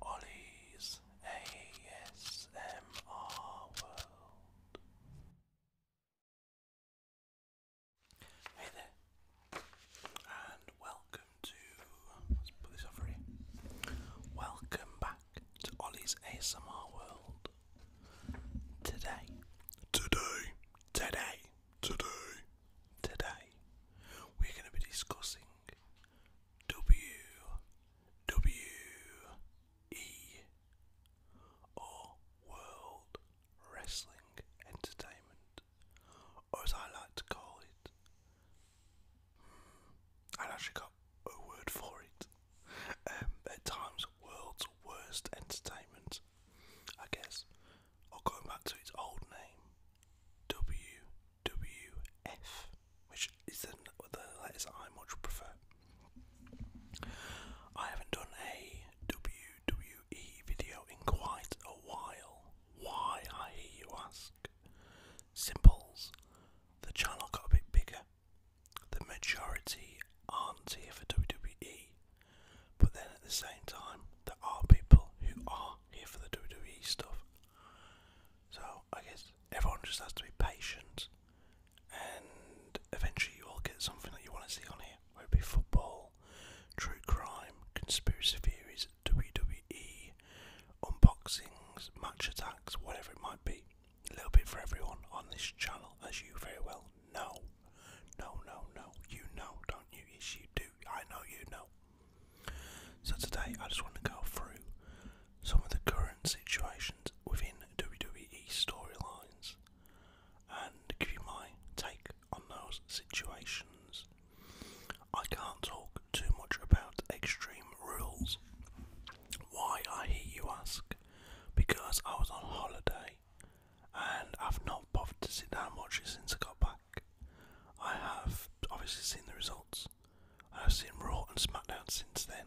Ollie's ASMR World. Hey there, and welcome to. Let's put this over here. Welcome back to Ollie's ASMR World. Today, today, today, today, today, we're going to be discussing W W E or World Wrestling Entertainment, or as I like to call it, hmm, i actually got a word for it. Um, at times, World's Worst Entertainment, I guess, or going back to its old name, WWF, which is the, the letters I much prefer. I haven't done a WWE video in quite a while. Why, I hear you ask? Simples. The channel got a bit bigger. The majority aren't here for WWE, but then at the same time, there are people who are here for the WWE stuff. So I guess everyone just has to be patient, and eventually you will get something that you want to see on here, whether it be football, true crime, conspiracy theories, WWE, unboxings, match attacks, whatever it might be. A little bit for everyone on this channel, as you very well know. No, no, no, you know, don't you? Yes, you do. I know you know. So today I just want to go through some of the current situations within WWE storylines and give you my take on those situations. I can't talk too much about extreme rules. Why I hear you ask? Because I was on holiday and I've not bothered to sit down much since I got back. I have obviously seen the results. I've seen Raw and SmackDown since then,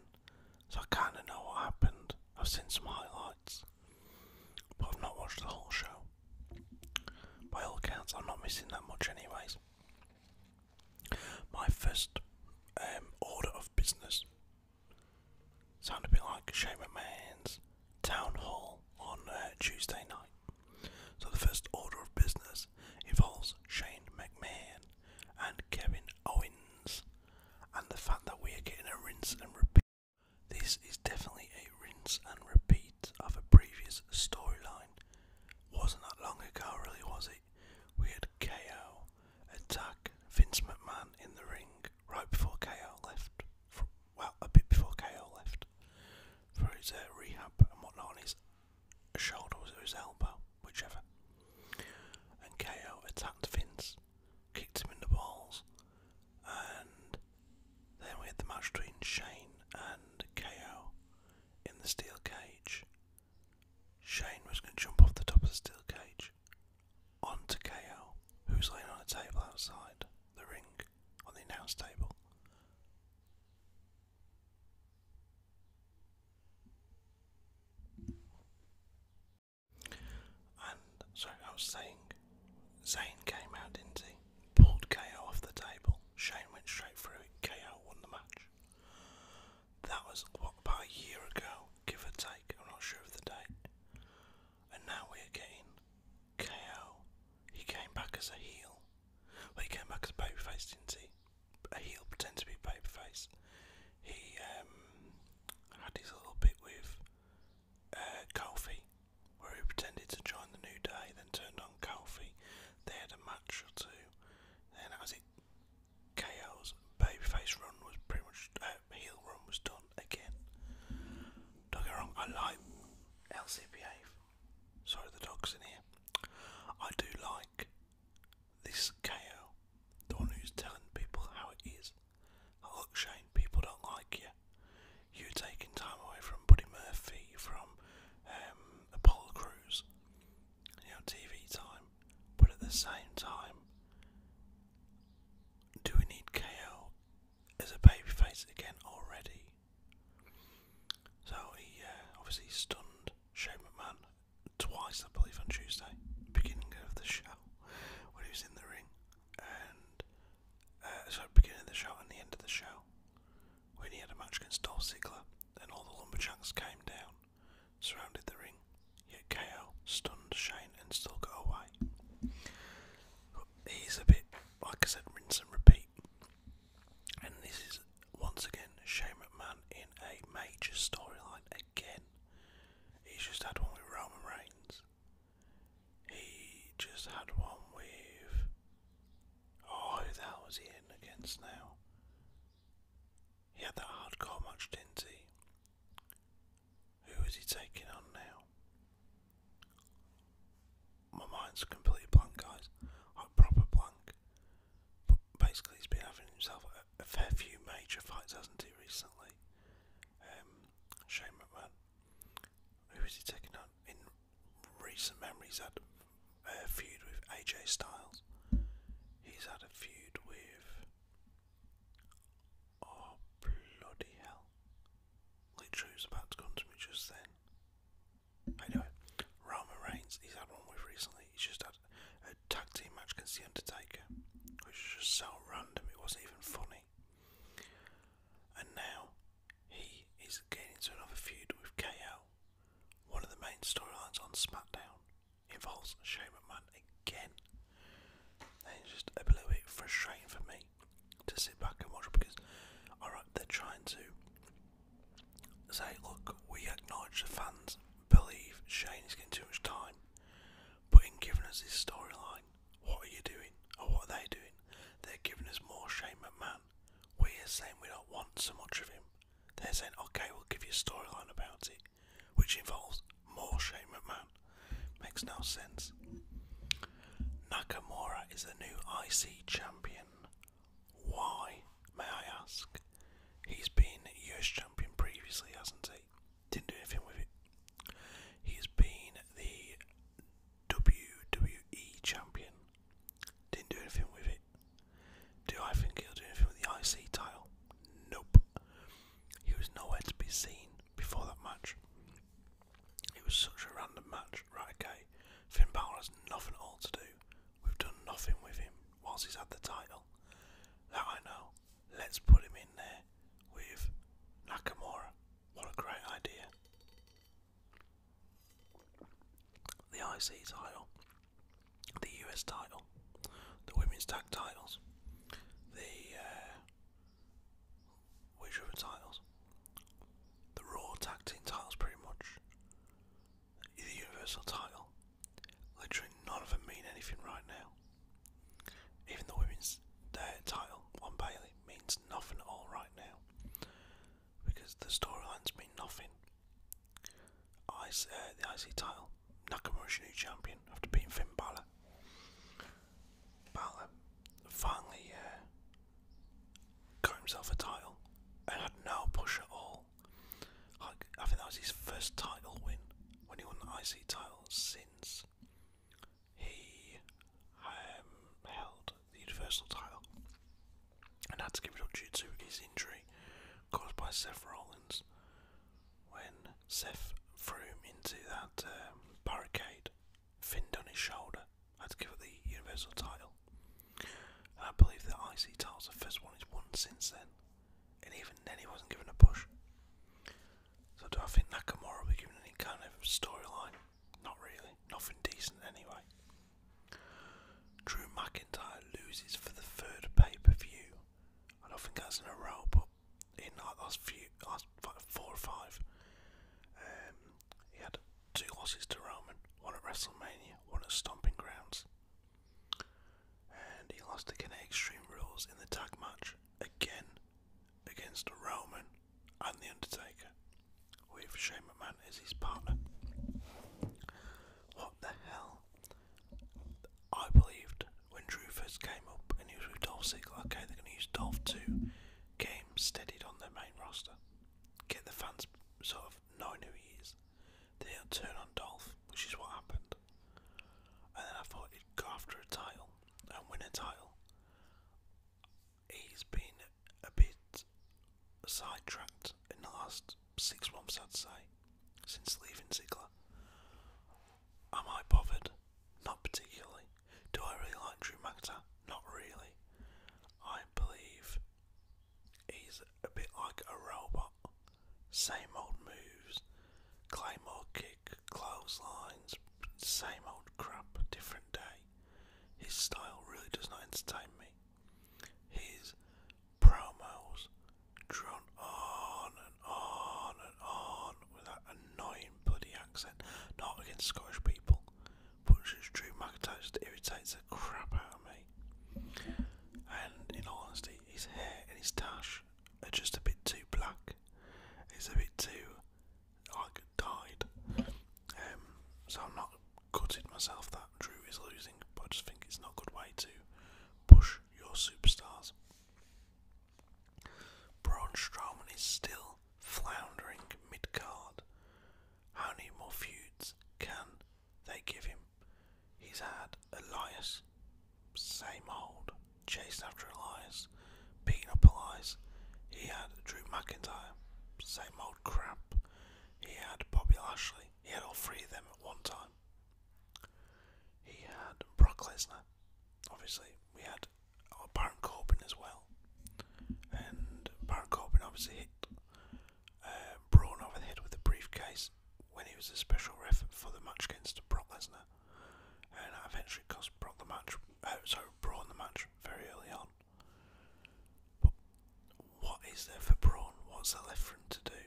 so I kind of know what happened. I've seen some highlights, but I've not watched the whole show. By all accounts, I'm not missing that much, anyways. My first um, order of business sounded a bit like Shane McMahon's town hall on uh, Tuesday night. So the first order of business involves Shane McMahon and Kevin Owens, and the fact that we are getting a rinse and repeat. This is definitely a rinse and repeat of a previous storyline. Wasn't that long ago, really, was it? We had KO attack Vince McMahon in the ring right before KO left. well, a bit before KO left for his uh, rehab and whatnot his shoulder was his elbow, whichever. And KO attacked Vince, kicked him in the balls, and then we had the match between Shane and KO in the steel cage. Shane was going to jump off the top of the steel cage onto KO, who's laying on a table outside the ring on the announce table. And sorry, I was saying Zayn came out, did Pulled KO off the table. Shane went straight through it. KO won the match. That was what about a year ago, give or take. I'm not sure of the date. And now we're getting KO. He came back as a heel he came back as a babyface, didn't he? A heel pretend to be a babyface. He um, had his little bit with uh, Kofi, where he pretended to join the New Day, then turned on Kofi. They had a match or two. Then that was it. KO's babyface run was pretty much uh, heel run was done again. Don't get wrong, I like LCPA. Sorry, the dog's in here. I do like this KO, the one who's telling people how it is. look, Shane, people don't like you. you taking time away from Buddy Murphy, from um, Apollo Crews, you TV time. But at the same time, do we need KO as a babyface again already? So he uh, obviously stunned Shane McMahon twice, I believe, on Tuesday, beginning of the show, when he was in the ring, and uh, so beginning of the show and the end of the show, when he had a match against Dolph Ziggler, Then all the lumberjacks came down, surrounded the ring, yet KO stunned Shane and still got away. he's a bit, like I said, rinse and repeat. And this is once again Shane McMahon in a major storyline again. He's just had one with Roman Reigns. He just had one with Oh who the hell was he in against now? He had that hardcore match, didn't he? Who is he taking on now? my mind's completely blank, guys. Like proper blank. But basically, he's been having himself a, fair few major fights, hasn't he, recently? shame um, Shane McMahon. Who is he taking on? In recent memories, had a feud with AJ Styles. He's had a feud with. Oh, bloody hell. Literally about to come to me just then. I know Roman Reigns, he's had one with recently. He's just had a tag team match against The Undertaker, which was just so random, it wasn't even funny. And now he is getting into another feud with KO. One of the main storylines on SmackDown involves Shane McMahon again. And it's just a little bit frustrating for me to sit back and watch because, alright, they're trying to say, look, we acknowledge the fans believe Shane is getting too much time, but in giving us this storyline, what are you doing? Or what are they doing? They're giving us more Shane McMahon. We're saying we don't want so much of him. They're saying, okay, we'll give you a storyline about it, which involves more Shane McMahon. Makes no sense. Nakamura is the new IC champion. Why, may I ask? He's been US champion previously, hasn't he? Didn't do anything with it. He's been the WWE champion. Didn't do anything with it. Do I think he'll do anything with the IC title? Nope. He was nowhere to be seen before that match. It was such a random match. Right, okay way. has nothing all to do. We've done nothing with him whilst he's had the title. That I know. Let's put him in there with Nakamura. What a great idea. The IC title, the US title, the women's tag titles, the. Uh, which other titles? The Raw Tag Team titles, pretty much. The Universal title. Literally none of them mean anything right now. Even the women's title on Bailey means nothing at all right now. Because the storylines mean nothing. I, uh, the icy title. Nakamura's new champion after beating Finn Balor. Balor finally uh, got himself a title and had no push at all. I think that was his first title win when he won the IC title since he um, held the Universal title and had to give it up due to his injury caused by Seth Rollins when Seth threw him into that um, barricade, finned on his shoulder, I'd give it the Universal title. And I believe the IC title's the first one he's won since then. And even then he wasn't given a push. So do I think Nakamura will be given any kind of storyline? Not really. Nothing decent anyway. Drew McIntyre loses for the third pay-per-view. I don't think that's in a row, but in like last few, last four or five, um, he had two losses to Roman, one at WrestleMania, one at Stomping Grounds. And he lost again at Extreme Rules in the tag match, again against Roman and The Undertaker, with Shane McMahon as his partner. What the hell? I believed when Drew first came up and he was with Dolph Ziggler, okay, they're going to use Dolph to Came steadied on their main roster get the fans sort of knowing who he is. They will turn on Dolph, which is what happened. And then I thought he'd go after a title and win a title. He's been a bit sidetracked in the last six months, I'd say, since leaving Ziggler. Am I bothered? Not particularly. Do I really like Drew McIntyre? Not really. I believe He's a bit like a robot. Same old moves, claymore kick, clotheslines, same old crap, different day. His style really does not entertain me. His promos drawn on and on and on with that annoying bloody accent, not against Scottish people, Punch's true mug touch that irritates the crap out of me. And in all honesty, his hair and his tash are just a bit too black. It's a bit too like dyed. Um, so I'm not gutted myself that Drew is losing, but I just think it's not a good way to push your superstars. Braun Strowman is still floundering mid card. How many more feuds can they give him? He's had Elias, same old, chasing after Elias, beating up Elias. He had Drew McIntyre, same old crap. He had Bobby Lashley. He had all three of them at one time. He had Brock Lesnar. Obviously, we had uh, Baron Corbin as well. And Baron Corbin obviously hit uh, Braun over the head with a briefcase when he was a special ref for the match against Brock Lesnar, and that eventually cost Brock the match. Uh, sorry, Braun the match very early on. But what is there for Braun? What's there for him to do?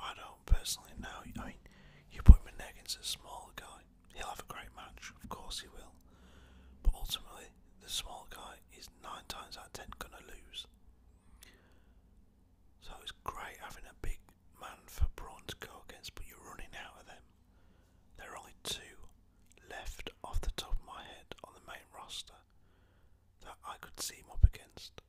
I don't personally know. I mean, you put him in against a small guy, he'll have a great match. Of course he will. But ultimately, the small guy, is nine times out of ten gonna lose. So it's great having a big man for Braun to go against, but you're running out of them. There are only two left off the top of my head on the main roster that I could see up against.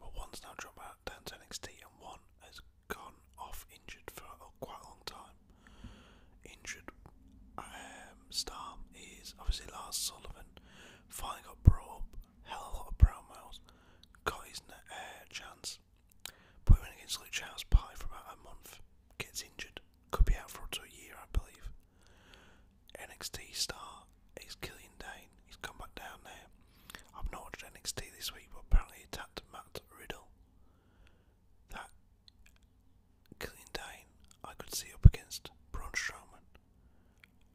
Well, one's now dropped out down to and one has gone off injured for quite a long time injured um, star is obviously last. Sullivan. Finally got brought up, hell of a lot of brown miles, got his uh, chance. Put him in against Luke Charles Pie for about a month, gets injured, could be out for up to a year, I believe. NXT star is Killian Dane, he's come back down there. I've not watched NXT this week, but apparently he attacked Matt Riddle that Killian Dane I could see up against Braun Strowman.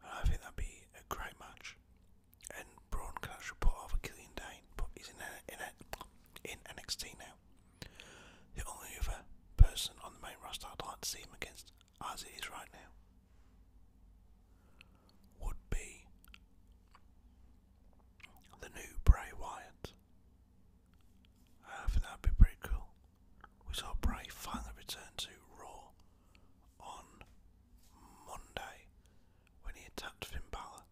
And I think that'd be a great match. And Braun can actually put off a Killian Dane, but he's in, in, in NXT now. The only other person on the main roster I'd like to see him against, as it is right now, would be the new Bray Wyatt. I think that'd be pretty cool. We saw Bray finally return to Raw on Monday when he attacked Finn Balor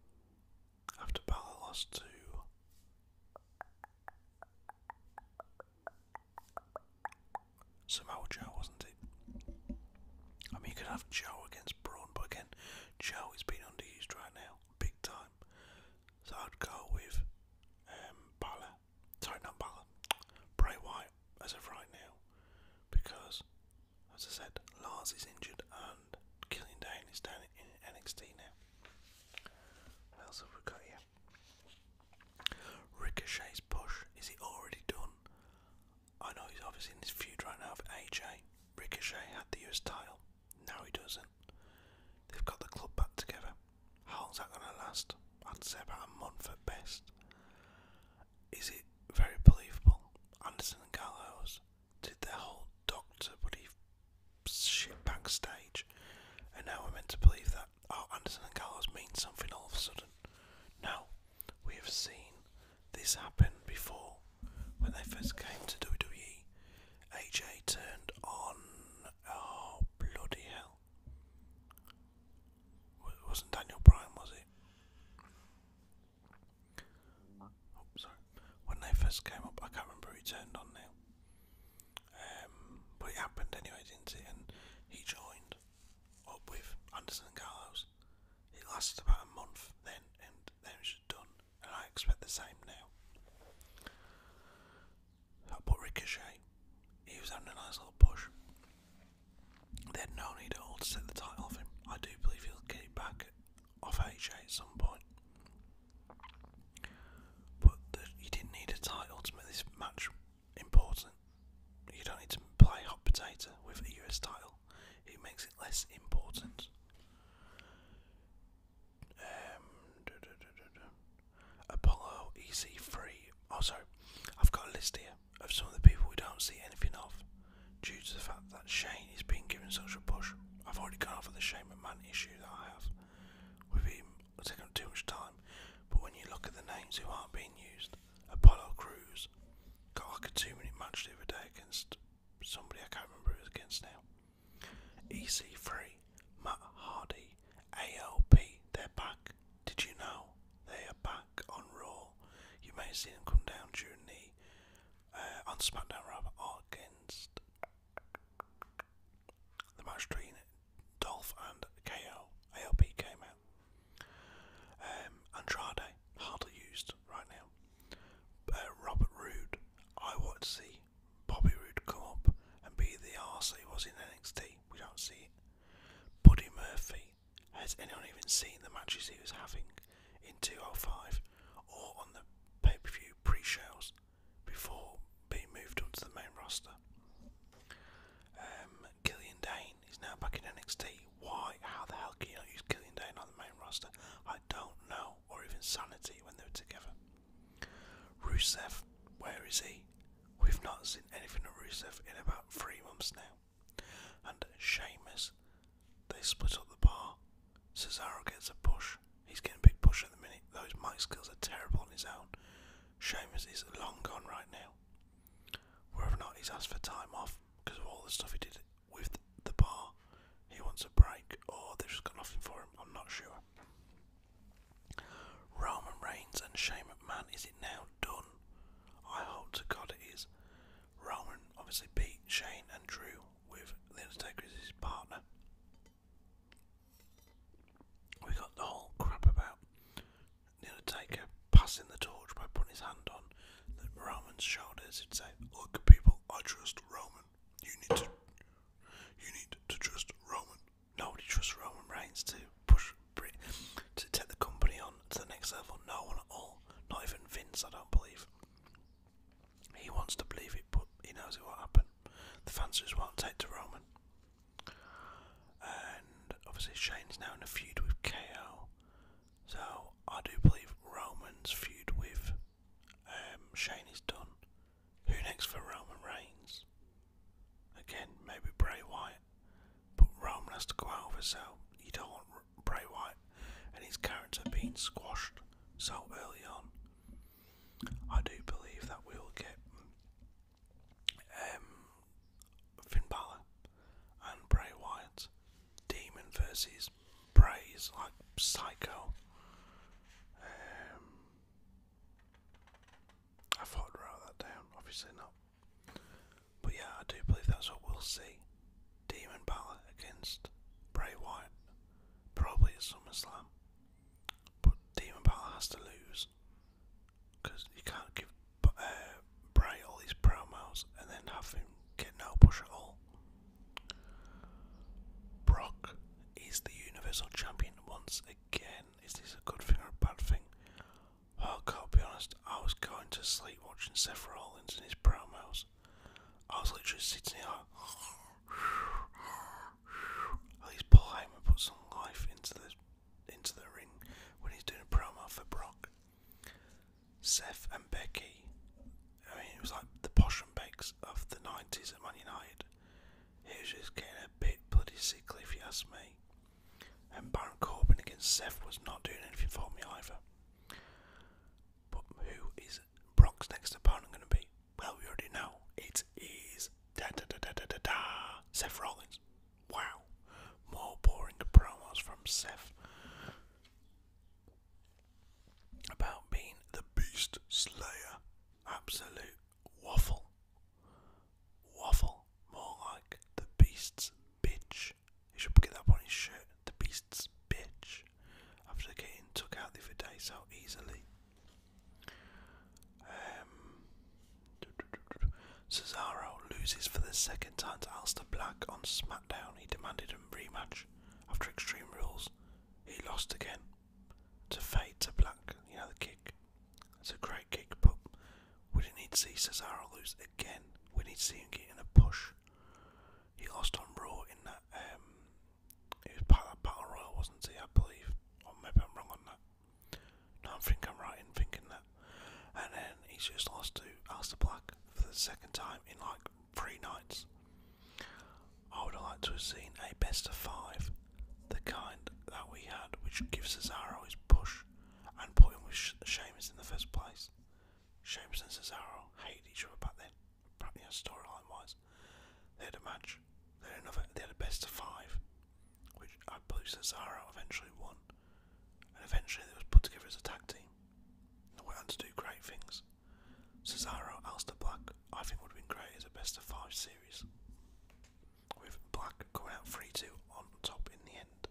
after Balor lost to. Samoa Joe, wasn't it? I mean, you could have Joe against Braun, but again, Joe is being underused right now, big time. So I'd go with um, Balor, sorry Balor, Bray Wyatt as of right now, because as I said, Lars is injured and Killing Dane is down in NXT now. What else have we got here? Ricochet's push, is it already done? I know he's obviously in this feud right now with AJ. Ricochet had the US title. No, he doesn't. They've got the club back together. How long's that going to last? I'd say about a month at best. Is it very believable? Anderson and Gallos did their whole doctor buddy shit backstage, and now we're meant to believe that, oh, Anderson and Gallos mean something all of a sudden. No, we have seen this happen before when they first came to WWE. AJ turned on. Oh, bloody hell. wasn't Daniel Bryan, was it? Oh, sorry. When they first came up, I can't remember who turned on now. Um, but it happened anyway, did And he joined up with Anderson and Carlos. It lasted about a month then, and then it was done and I expect the same now. I put Ricochet, he was having a nice little push. They had no need at all to set the title off him. I do believe he'll get it back off HA at some point. But you didn't need a title to make this match important. You don't need to play hot potato with a US title. It makes it less important. Um, Apollo EC3. Oh, sorry, I've got a list here of some of the people we don't see anything of due to the fact that Shane is being given such a push. I've already gone over the Shane McMahon issue that I have with him taking up too much time, but when you look at the names who aren't being used, Apollo Crews got like a two minute match the other day against somebody I can't remember who it was against now. EC3, Matt Hardy, ALP, they're back. Did you know? They are back on Raw. You may have seen them come down during the uh, on SmackDown rather against the match between Dolph and KO. ALP came out. Um, Andrade, hardly used right now. Uh, Robert Roode, I want to see Bobby Roode come up and be the arse he was in NXT. We don't see Buddy Murphy. Has anyone even seen the matches he was having in 205 or on the pay per view pre shows before being moved up to the main roster? Um, Killian Dane is now back in NXT. Why? How the hell can you use Killian Dane on the main roster? I don't know. Or even Sanity when they were together. Rusev, where is he? We've not seen anything of Rusev in about three months now. And Sheamus, they split up the bar. Cesaro gets a push. He's getting a big push at the minute. Those mic skills are terrible on his own. Sheamus is long gone right now. Whether or not he's asked for time off because of all the stuff he did with the bar, he wants a break, Oh, they've just got nothing for him. I'm not sure. Roman Reigns and shame Shane man. is it now done? I hope to God it is. Roman obviously beat Shane and Drew with The partner. We got the whole crap about Undertaker passing the torch by putting his hand on Roman's shoulders and say, Look people, I trust Roman. You need to you need to trust Roman. Nobody trusts Roman Reigns to push to take the company on to the next level. No one at all. Not even Vince, I don't believe. He wants to believe it, but he knows it won't happen. The fans just won't take to Roman. And obviously Shane's now in a feud with KO. So I do believe Roman's feud with um, Shane is done. Who next for Roman Reigns? Again, maybe Bray Wyatt. But Roman has to go over, so you don't want Bray Wyatt and his character being squashed so early on. I do believe that we will get um, Finn Balor and Bray Wyatt, Demon Verses praise like Psycho. Um, I thought I'd write that down, obviously not. But yeah, I do believe that's what we'll see. Demon Balor against Bray Wyatt. Probably at SummerSlam. But Demon Balor has to lose. Because you can't give uh, Bray all these promos and then have him get no push at all. Brock is the Universal Champion once again. Is this a good thing or a bad thing? Oh, I gotta be honest, I was going to sleep watching Seth Rollins and his promos. I was literally sitting here at least Paul Heyman put some life into the into the ring when he's doing a promo for Brock. Seth and Becky I mean, it was like the posh and bakes of the 90s at Man Night. It was just getting a bit bloody sickly, if you ask me. And Baron Corbin against Seth was not doing anything for me either. But who is Brock's next opponent going to be? Well, we already know. It is da da da da da da da Seth Rollins. Wow, more boring promos from Seth about being the Beast Slayer. Absolute waffle. Waffle. More like the Beast's bitch. He should get that on his shirt. The Beast's bitch. After getting took out the other day so easily. Um, Cesaro loses for the second time to Alistair Black on SmackDown. He demanded a rematch after Extreme Rules. He lost again to fade to black. You know the kick. It's a great kick, but we didn't need to see Cesaro lose again. We need to see him getting a push. He lost on Raw in that. Um, it was part of that Battle Royal, wasn't he? I believe, or maybe I'm wrong on that. No, I think I'm right in thinking that. And then he's just lost to Alistair Black for the second time in like three nights. I would have liked to have seen a best of five, the kind that we had, which gives Cesaro his push and put him with she Sheamus in the first place. Sheamus and Cesaro hated each other back then, you know, storyline wise. They had a match, they had, another, they had a best of five, which I believe Cesaro eventually won, and eventually they was put together as a tag team. And went on to do great things. Cesaro, Alistair Black, I think would have been great as a best of five series. With Black going out 3 2 on top in the end.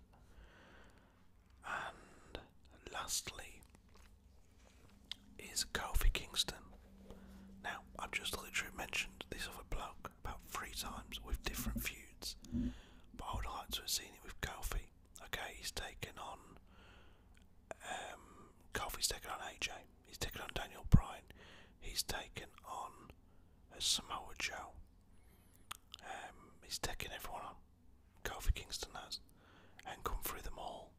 And lastly is Kofi Kingston. Now, I've just literally mentioned this other bloke about three times with different feuds, but I would like to have seen it with Kofi. Okay, he's taken on. Um, Kofi's taken on AJ. He's taken on Daniel Bryan. He's taken on uh, Samoa Joe. Um, he's taken everyone on. Kofi Kingston has, and come through them all.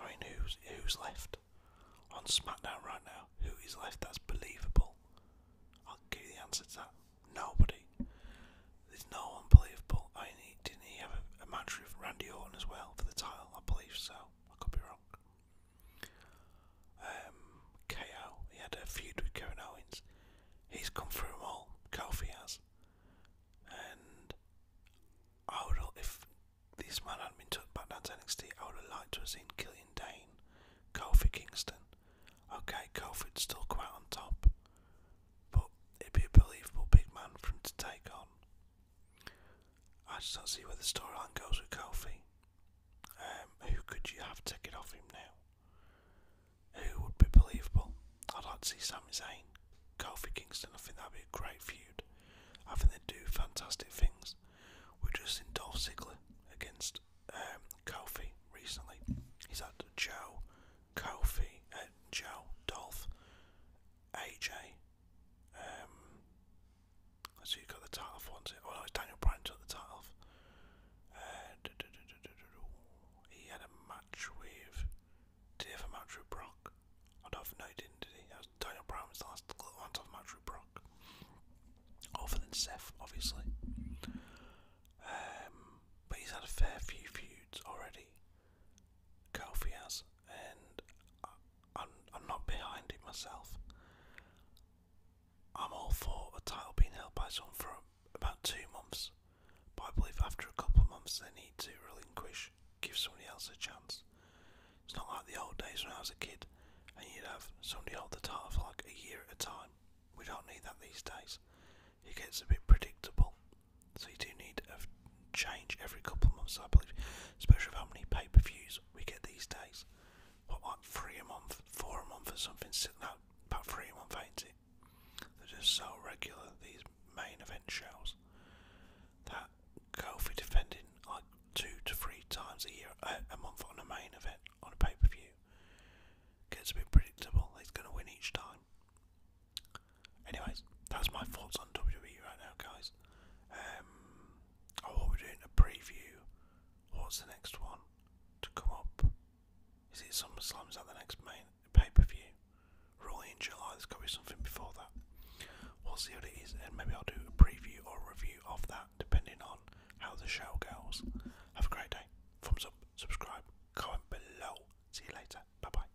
I mean, who's who's left on SmackDown right now? Who is left that's believable? I'll give you the answer to that. Nobody. There's no one believable. I mean, he didn't he have a, a match with Randy Orton as well for the title? I believe so. I could be wrong. Um, KO. He had a feud with Kevin Owens. He's come through them all. Kofi has. And I would if this man hadn't been took back down to NXT, I would have liked to have seen Killian Dane, Kofi Kingston. Okay, Kofi'd still come out on top, but it'd be a believable big man for him to take on. I just don't see where the storyline goes with Kofi. Um, who could you have taken off him now? Who would be believable? I'd like to see Sami Zayn, Kofi Kingston. I think that'd be a great feud. I think they'd do fantastic things. we are just in Dolph Ziggler against um, Kofi recently. He's had Joe, Kofi, uh, Joe, Dolph, AJ, so you us got the title off once. Oh no, it's Daniel Bryan took the title off. Uh, He had a match with. Did he have match with Brock? I don't know, if he didn't, did he? That was Daniel Bryan was the last one to have a match with Brock. Other than Seth, obviously. Um, but he's had a fair few feuds already. Kofi has, and I, I'm, I'm not behind it myself. I'm all for a title being held by someone for about two months, but I believe after a couple of months they need to relinquish, give somebody else a chance. It's not like the old days when I was a kid and you'd have somebody hold the title for like a year at a time. We don't need that these days. It gets a bit predictable so you do need a change every couple of months, I believe, especially with how many pay-per-views we get these days. What, like three a month, four a month, or something? Sitting out about three a month, ain't They're just so regular. These main event shows that go for defending like two to three times a year, a month on a main event on a pay-per-view gets a bit predictable. He's going to win each time. Anyways, that's my thoughts on WWE right now, guys. Um, oh, what we doing a preview. What's the next one to come up? Is it SummerSlam? Is that the next main pay per view? Rolling in July. There's got to be something before that. We'll see what it is, and maybe I'll do a preview or review of that, depending on how the show goes. Have a great day. Thumbs up, subscribe, comment below. See you later. Bye bye.